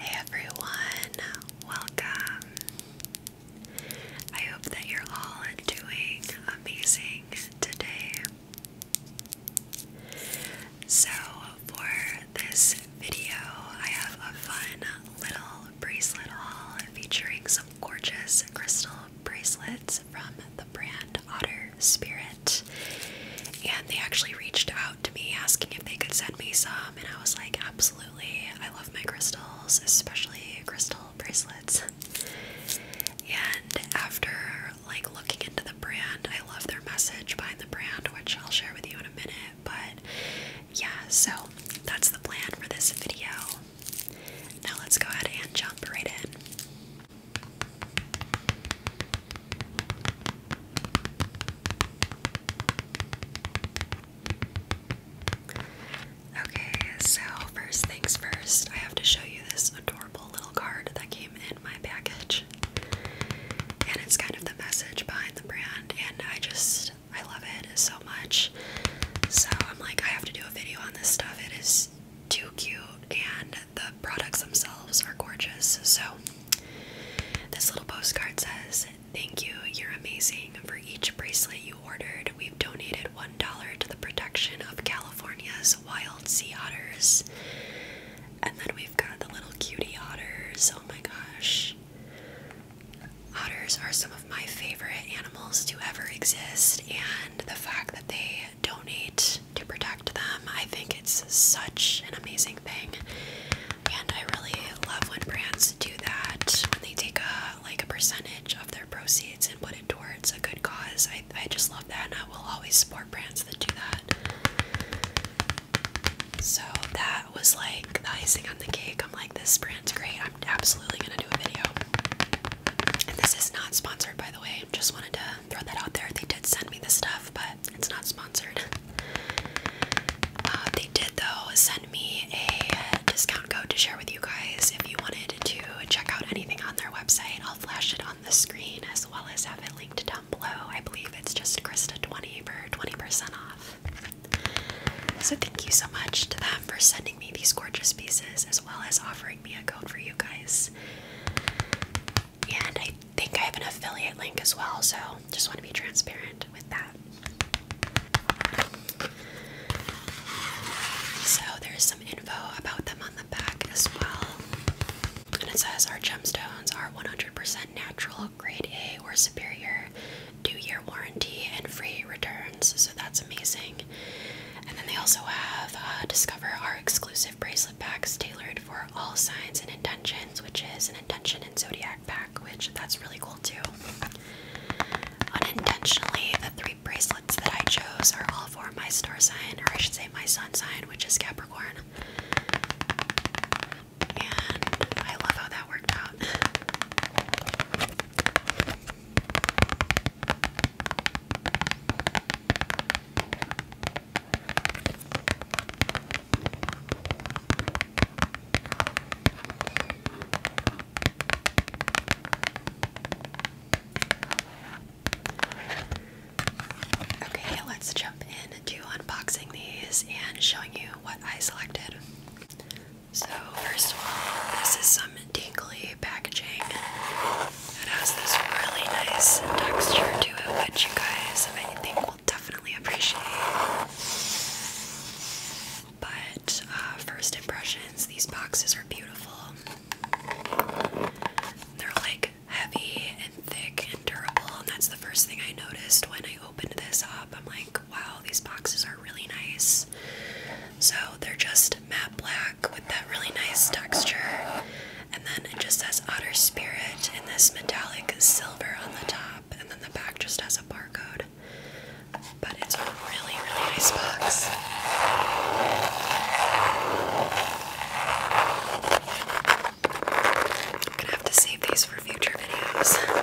Hey everyone, welcome. I hope that you're all doing amazing today. So, for this video, I have a fun little bracelet haul featuring some gorgeous crystal bracelets from the brand Otter Spirit. And they actually reached out to me asking if they could send me some, and I was like, absolutely. I love my crystals, especially crystal bracelets. And after like looking into the brand, I love their message behind the brand, which I'll share with you in a minute. But yeah, so that's the plan for this video. Now let's go ahead and jump right in. Okay, so first things first, I have to show you this adorable little card that came in my package. And it's kind of the message behind the brand, and I just, I love it so much. So I'm like, I have to do a video on this stuff. It is too cute, and the products themselves are gorgeous. So this little postcard says, Thank you, you're amazing. For each bracelet you ordered, we've donated $1 to the protection of California's wild sea otters. And then we've got the little cutie otters. Oh my gosh. Otters are some of my favorite animals to ever exist, and the fact that they donate to protect them, I think it's such an amazing thing. And I really love when brands do that when they take a like a percentage of their proceeds and put it towards a good cause. I I just love that and I will always support brands that do that. So that was like the icing on the cake. I'm like this brand's great. I'm absolutely gonna do a video. And this is not sponsored by the way. Just wanted to throw that out there. They did send me the stuff but it's not sponsored. Uh, they did, though, send me a discount code to share with you guys if you wanted to check out anything on their website. I'll flash it on the screen as well as have it linked down below. I believe it's just Krista20 for 20% off. So, thank you so much to them for sending me these gorgeous pieces as well as offering me a code for you guys. And I think I have an affiliate link as well, so just want to be transparent with that. So there's some info about them on the back as well. And it says our gemstones are 100% natural, grade A or superior, two year warranty, and free returns. So that's amazing. And then they also have uh, Discover our exclusive bracelet packs tailored for all signs and intentions, which is an intention in zodiac pack, which that's really cool too. Unintentionally, the three bracelets that I chose are all for my star sign, or I should say my sun sign, which is Capricorn. And I love how that worked out. Okay, let's jump in into unboxing these and showing you what I selected. So, first of all, this is some tingly packaging. that has this really nice texture to it, which you guys, I think, will definitely appreciate. But uh, first impressions, these boxes are beautiful. They're like heavy and thick and durable, and that's the first thing I noticed when I opened this up. I'm like, wow, these boxes are really nice. So they're just matte black with that really nice texture. And then it just says Otter Spirit in this metallic silver silver on the top, and then the back just has a barcode. But it's a really, really nice box. gonna have to save these for future videos.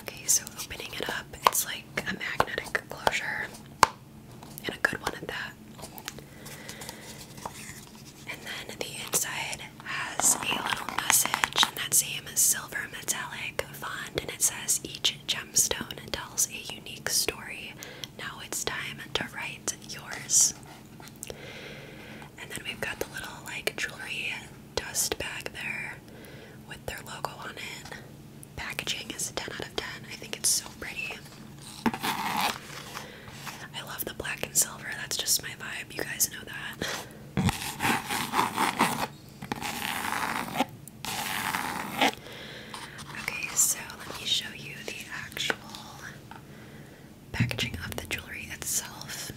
Okay, so opening it up, it's like a magnetic closure, and a good one at that. And then the inside has a little message and that same silver metallic font, and it says each gemstone tells a unique story. Now it's time to write yours. And then we've got the little like jewelry dust bag there with their logo on it. Packaging is 10 out of 10. I think it's so pretty. I love the black and silver. That's just my vibe. You guys know that. Okay, so let me show you the actual packaging of the jewelry itself.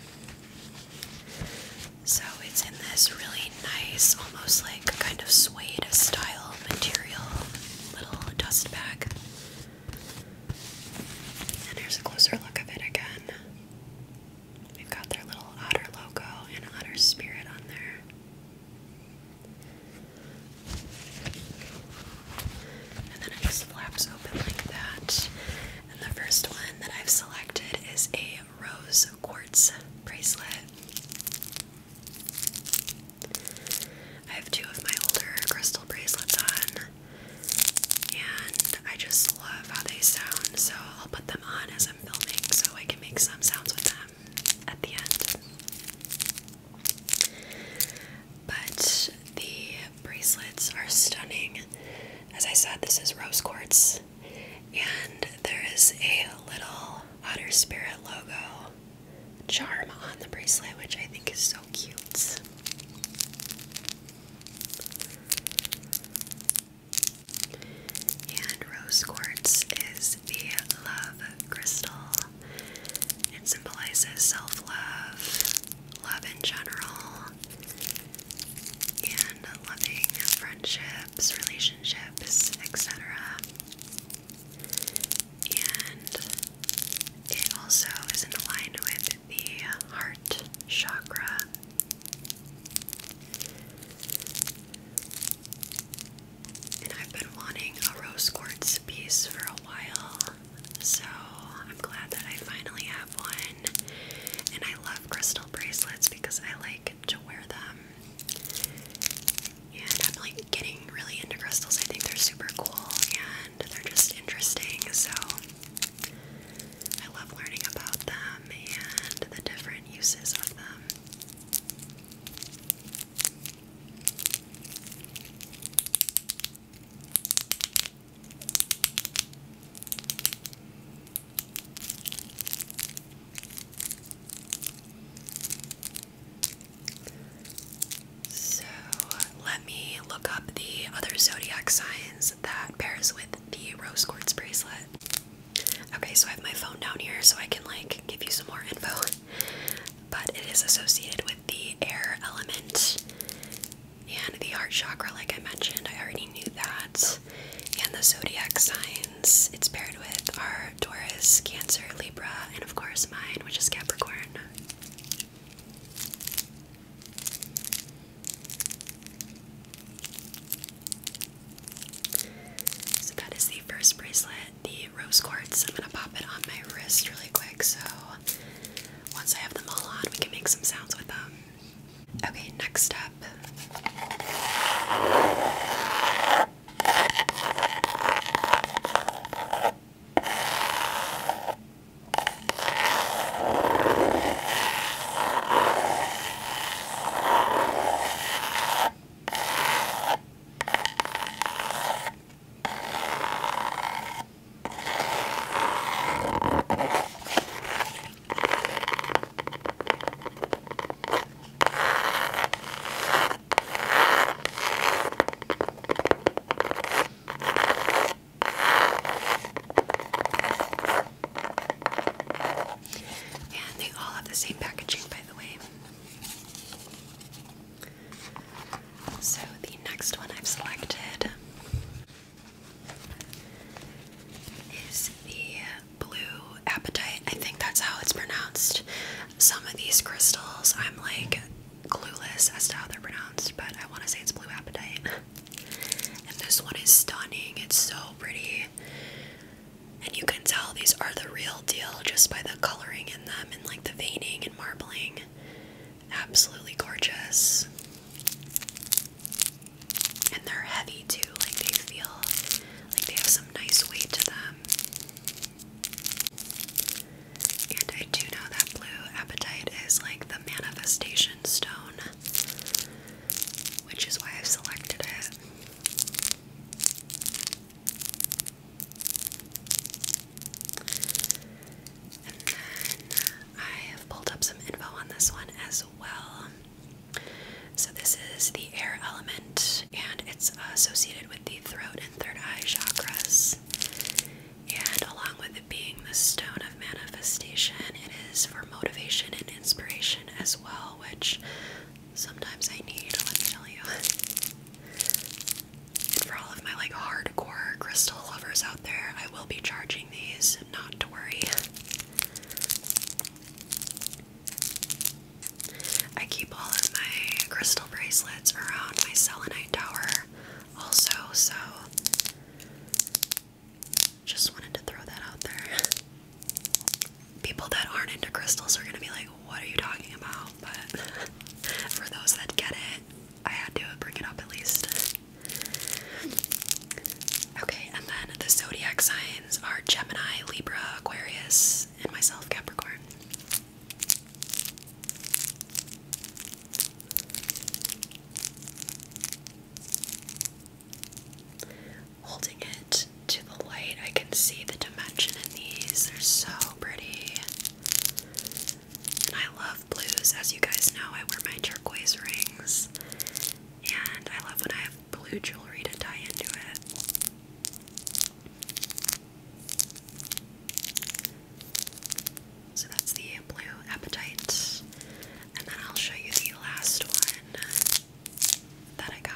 So it's in this really nice, almost like kind of suede style material little dust bag. And here's a closer look of it again. We've got their little otter logo and otter spirit on there and then it just flaps open like that. And the first one that I've selected is a rose quartz bracelet. I have two of my older crystal bracelets on, and I just love how they sound, so I'll put them on as I'm filming so I can make some sounds with them at the end but the bracelets are stunning. As I said, this is rose quartz, and there is a little otter spirit logo charm on the bracelet, which I think is so cute. And rose quartz is the love crystal. It symbolizes self love, love in general and loving friendships, relationships, etc. And it also isn't aligned with the heart chakra. And I've been wanting a rose quartz piece for a while, so I'm glad that I finally have one. And I love crystal bracelets because I like to wear them. And I'm like getting really into crystals. I think they're super cool and they're just interesting. So I love learning about them and the different uses of them. So let me look up the other zodiac signs that pairs with the rose quartz bracelet. Okay, so I have my phone down here so I can like give you some more info. But it is associated with the air element and the heart chakra, like I mentioned, I already knew that. And the zodiac signs it's paired with are Taurus, Cancer, Libra, and of course mine, which is Capricorn. So that is the first bracelet, the rose quartz. I'm gonna pop it on my wrist really quick so once I have them all on, we can make some sounds with them. Okay, next up. And they all have the same packaging, by the way. So the next one I've selected is the blue appetite. I think that's how it's pronounced. Some of these crystals I'm like clueless as to how they're pronounced, but I want to say it's blue appetite. And this one is stunning. It's so pretty. And you can tell these are the real deal just by the coloring in them and like the veining and marbling absolutely gorgeous. And they're heavy too, like they feel like they have some nice weight to them. And I do know that blue appetite is like the manifestation stone, which is why I've selected it. And then I have pulled up some info on this one as well. So, this is the air element, and it's associated with the throat and third eye chakras. And along with it being the stone of manifestation, it is for motivation and inspiration as well, which sometimes I need, let me tell you for all of my like hardcore crystal lovers out there, I will be charging these, not to worry. I keep all of my crystal bracelets around my selenite tower also, so just wanted to throw that out there. People that aren't into crystals are gonna be like, what are you talking about? But for those that get it, I had to bring it up at least. Okay, and then the zodiac signs are Gemini, Libra, Aquarius, and myself, Capricorn. Holding it to the light, I can see the dimension in these. They're so pretty. And I love blues. As you guys know, I wear my turquoise rings. And I love when I have blue jewelry to tie into it. So that's the blue appetite. And then I'll show you the last one that I got.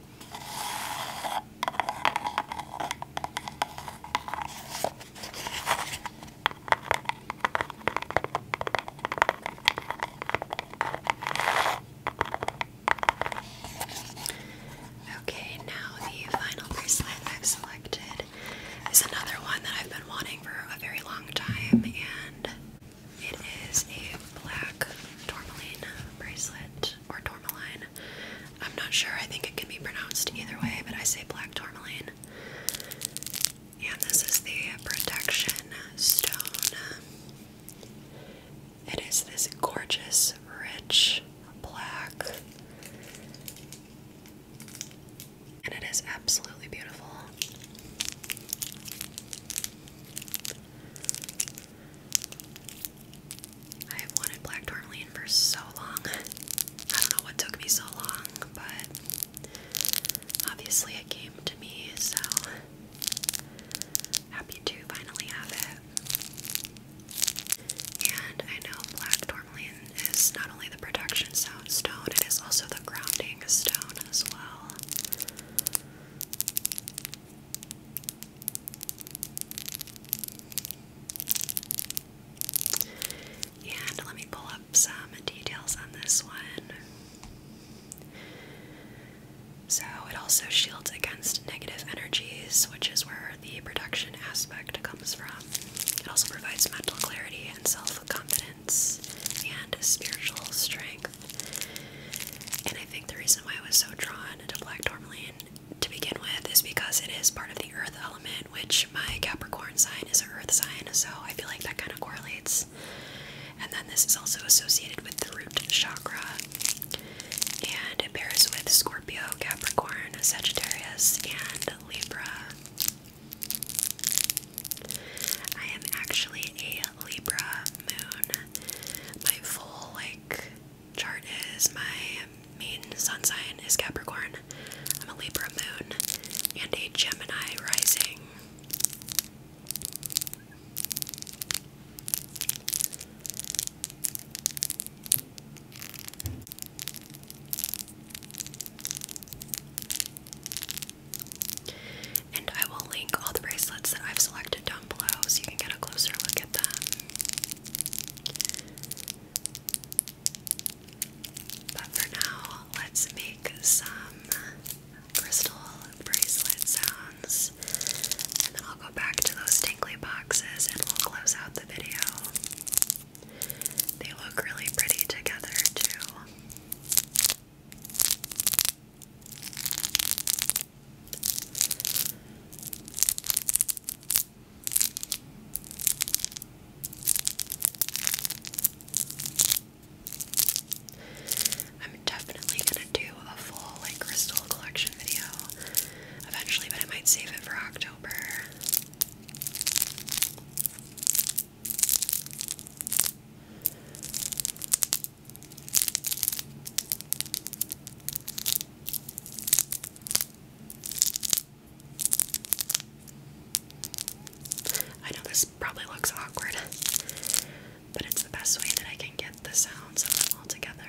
Okay, now the final bracelet I've selected is another one that I've been wanting for a very long time, and it is a black tourmaline bracelet or tourmaline. I'm not sure. I think it can be pronounced either way, but I say black tourmaline. And this is the protection stone. It is this gorgeous, rich black. And it is absolutely beautiful. I have wanted black tourmaline for so long. I don't know what took me so long, but obviously it came to me, so happy to finally have it. And I know black tourmaline is not only the protection stone, it is also the grounding stone as well. And let me pull up some details on this one. So, it also shields against negative energies, which is where the production aspect comes from. It also provides mental clarity and self confidence and spiritual strength. And I think the reason why I was so drawn recommended a black tourmaline to begin with is because it is part of the earth element, which my Capricorn sign is an earth sign, so I feel like that kind of correlates. And then this is also associated with the root chakra. And it pairs with Scorpio, Capricorn, Sagittarius, and Libra. I am actually a Libra moon. My full, like, chart is my main sun sign is Capricorn. I'm a Libra moon and a Gemini rising. And I will link all the bracelets that I've selected below so you can get a closer look at them. But for now, let's make some crystal bracelet and I'll go back to those tingly boxes and we'll close out the video. They look really pretty together, too. I'm definitely gonna do a full like crystal collection video eventually, but I might save it for October. I know this probably looks awkward, but it's the best way that I can get the sounds of them all together.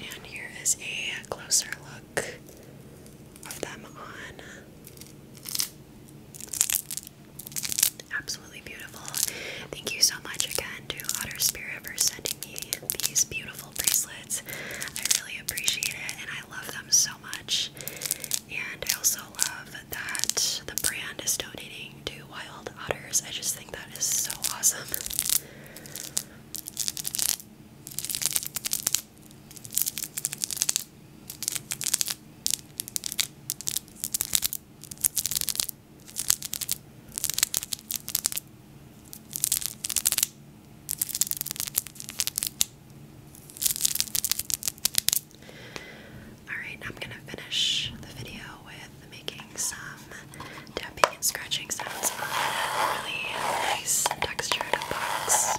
And here is a closer look of them on. Absolutely beautiful. Thank you so much again to Otter Spirit for sending me these beautiful bracelets. I really appreciate it and I love them so much. And I also love that the brand is donating to wild otters. I just think that is so awesome. Alright, I'm gonna finish the video with making some tapping and scratching sounds on a really nice textured box.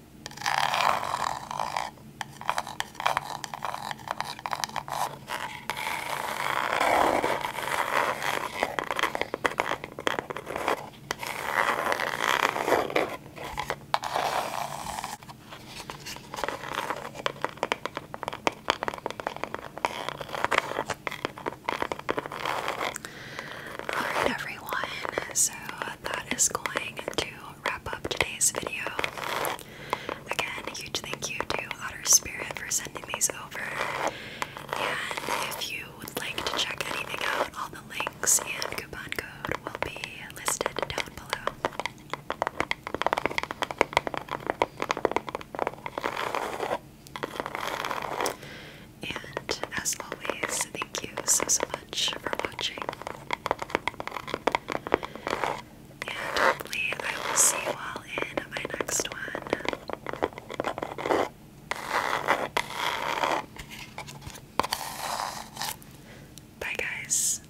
Alright everyone, so that is going to wrap up today's video. Again, huge thank you to Otter Spirit for sending these over. And if you would like to check anything out, all the links and coupon code will be listed down below. And as always, thank you so so much for watching. And hopefully, I will see you all in my next one. Bye, guys.